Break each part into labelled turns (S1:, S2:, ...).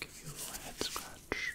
S1: Give you a little head scratch.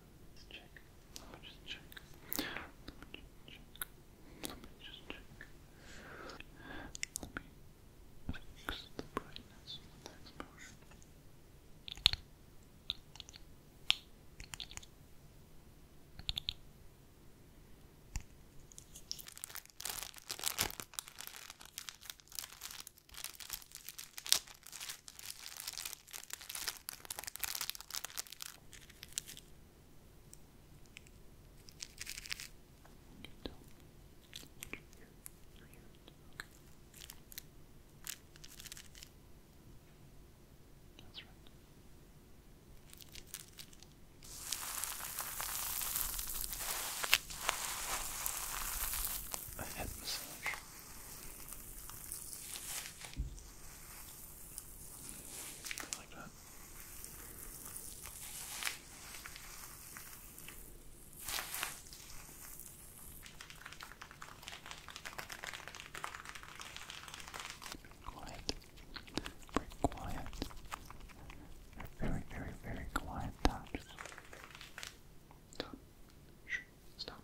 S1: Let's me just check. Let me just check. Let me just check. Let me fix the brightness of the you can tell me what you hear. You hear it. Okay. That's right. A head massage like that. Quiet, very quiet. they very, very, very quiet taps. Stop. Stop. Stop.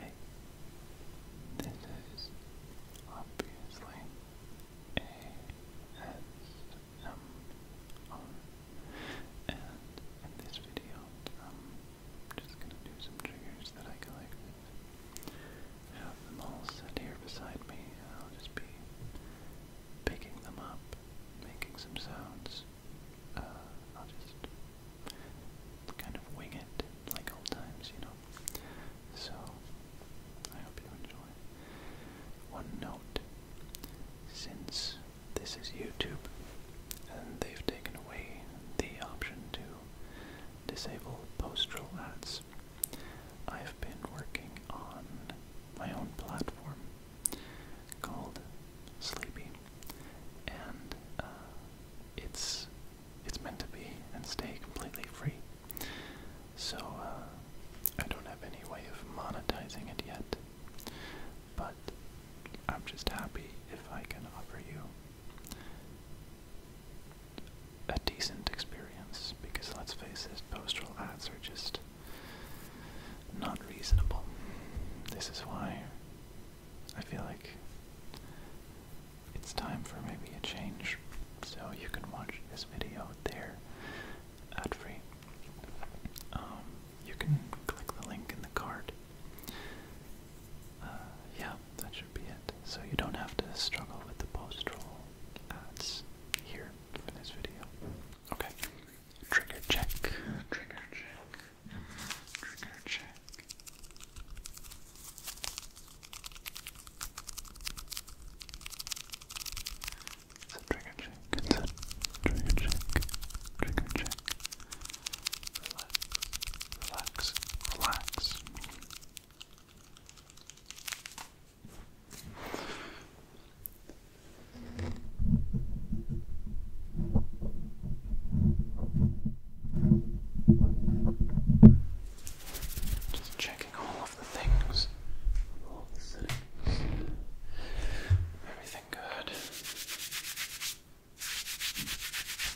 S1: Hey, this is obviously A S M R and in this video um, i just gonna do some triggers that I collected. have them all set here beside me, I'll just be picking them up, making some sounds. Uh, I'll just kind of wing it, like old times, you know. So, I hope you enjoy. One note, since this is YouTube, and they've taken away the option to disable postal ads. I've been working on my own platform called Sleepy, and uh, it's it's meant to be and stay completely free. So uh, I don't have any way of monetizing it yet, but I'm just happy if I can offer you a decent experience because let's face it, postal ads are just not reasonable. This is why I feel like it's time for maybe a change. So you can watch this video there ad free. Um, you can click the link in the card uh, yeah, that should be it. So you don't have to struggle with the post-roll ads here for this video. Okay. Trigger check. Trigger check. Trigger check. It's a trigger check. It's trigger check. Trigger check relax, relax. Just checking all of the things, all of the settings, everything good.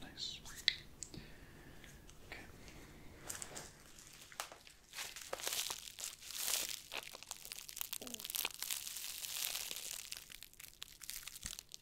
S1: Nice. Okay.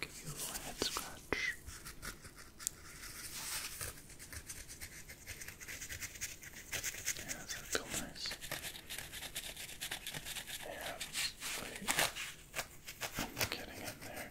S1: Give you a little head scratch. Yeah, that's so nice. Yeah, wait. I'm getting in there.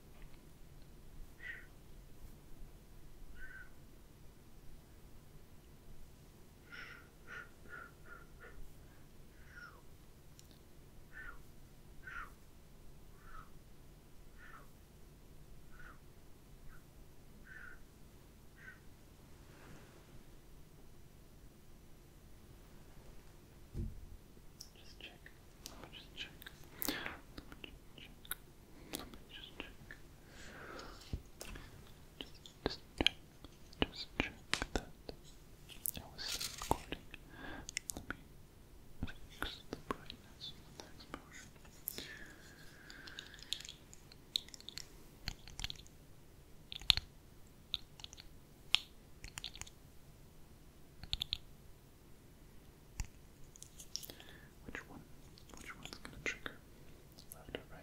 S1: Just check let me just check. Let me just check. Let me just check. Just, just check. Just check that it was still recording. Let me fix the brightness of the which one? Which one's gonna trigger? Left or right?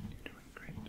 S1: You're doing great. Good.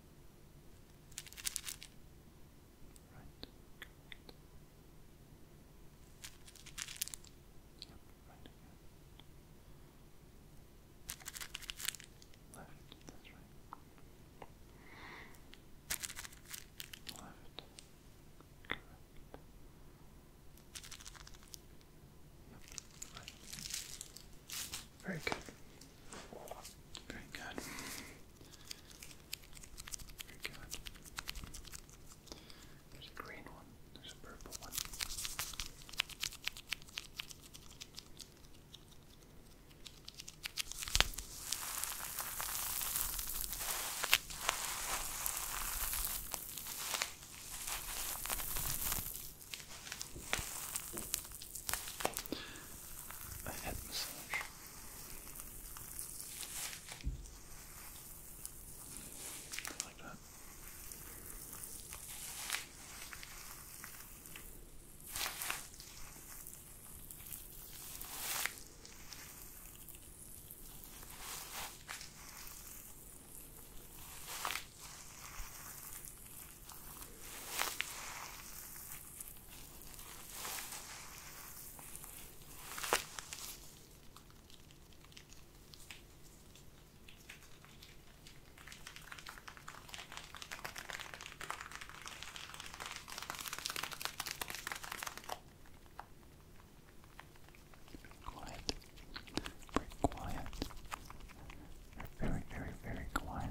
S1: Right. Yep, right again. Left, that's right. Left. Correct. Yep, right. Very good. Very good. Very good. There's a green one, there's a purple one. A head massage. Like that. Quiet, very quiet. very, very, very quiet.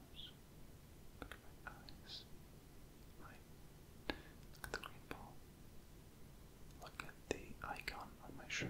S1: nose. Look at my eyes. Look at the green ball. Look at the icon on my shirt.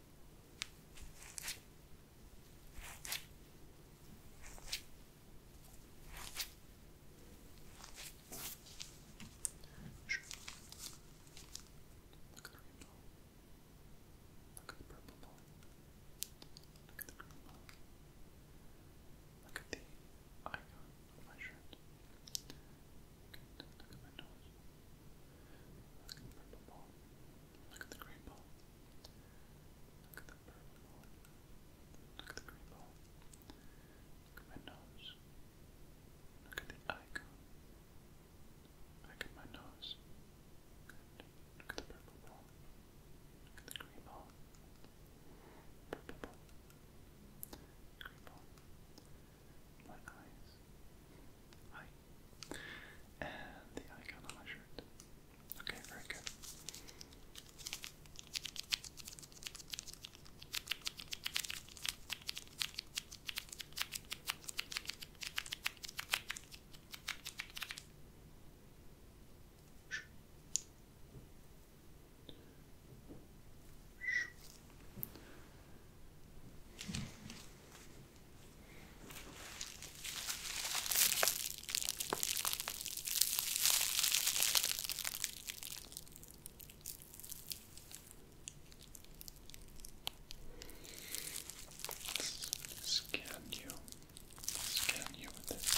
S1: Sure. Look at the green ball. Look at the purple ball. Look at the green ball. Look at the icon of my shirt. Okay, look at my nose. Look at my Look at the green ball. Look at the purple ball. Look at the green ball. Look at my nose. Look at the icon. Look at my nose. Look at the purple ball. the green ball. Purple ball. Green ball. My eyes. Hi. And the icon on my shirt. Okay, very good. Scan you, scan you with this.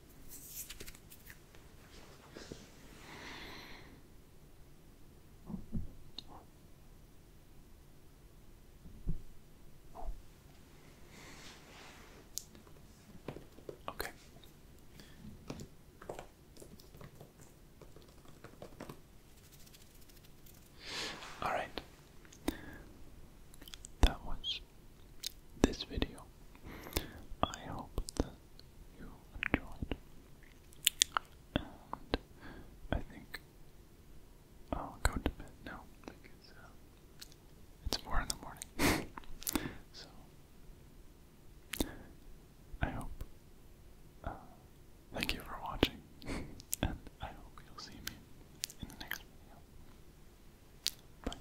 S1: Okay. All right. That was this video. I hope you enjoyed. And I think I'll go to bed now uh, it's four in the morning. so I hope. Uh, thank you for watching, and I hope you'll see me in the next video. Bye.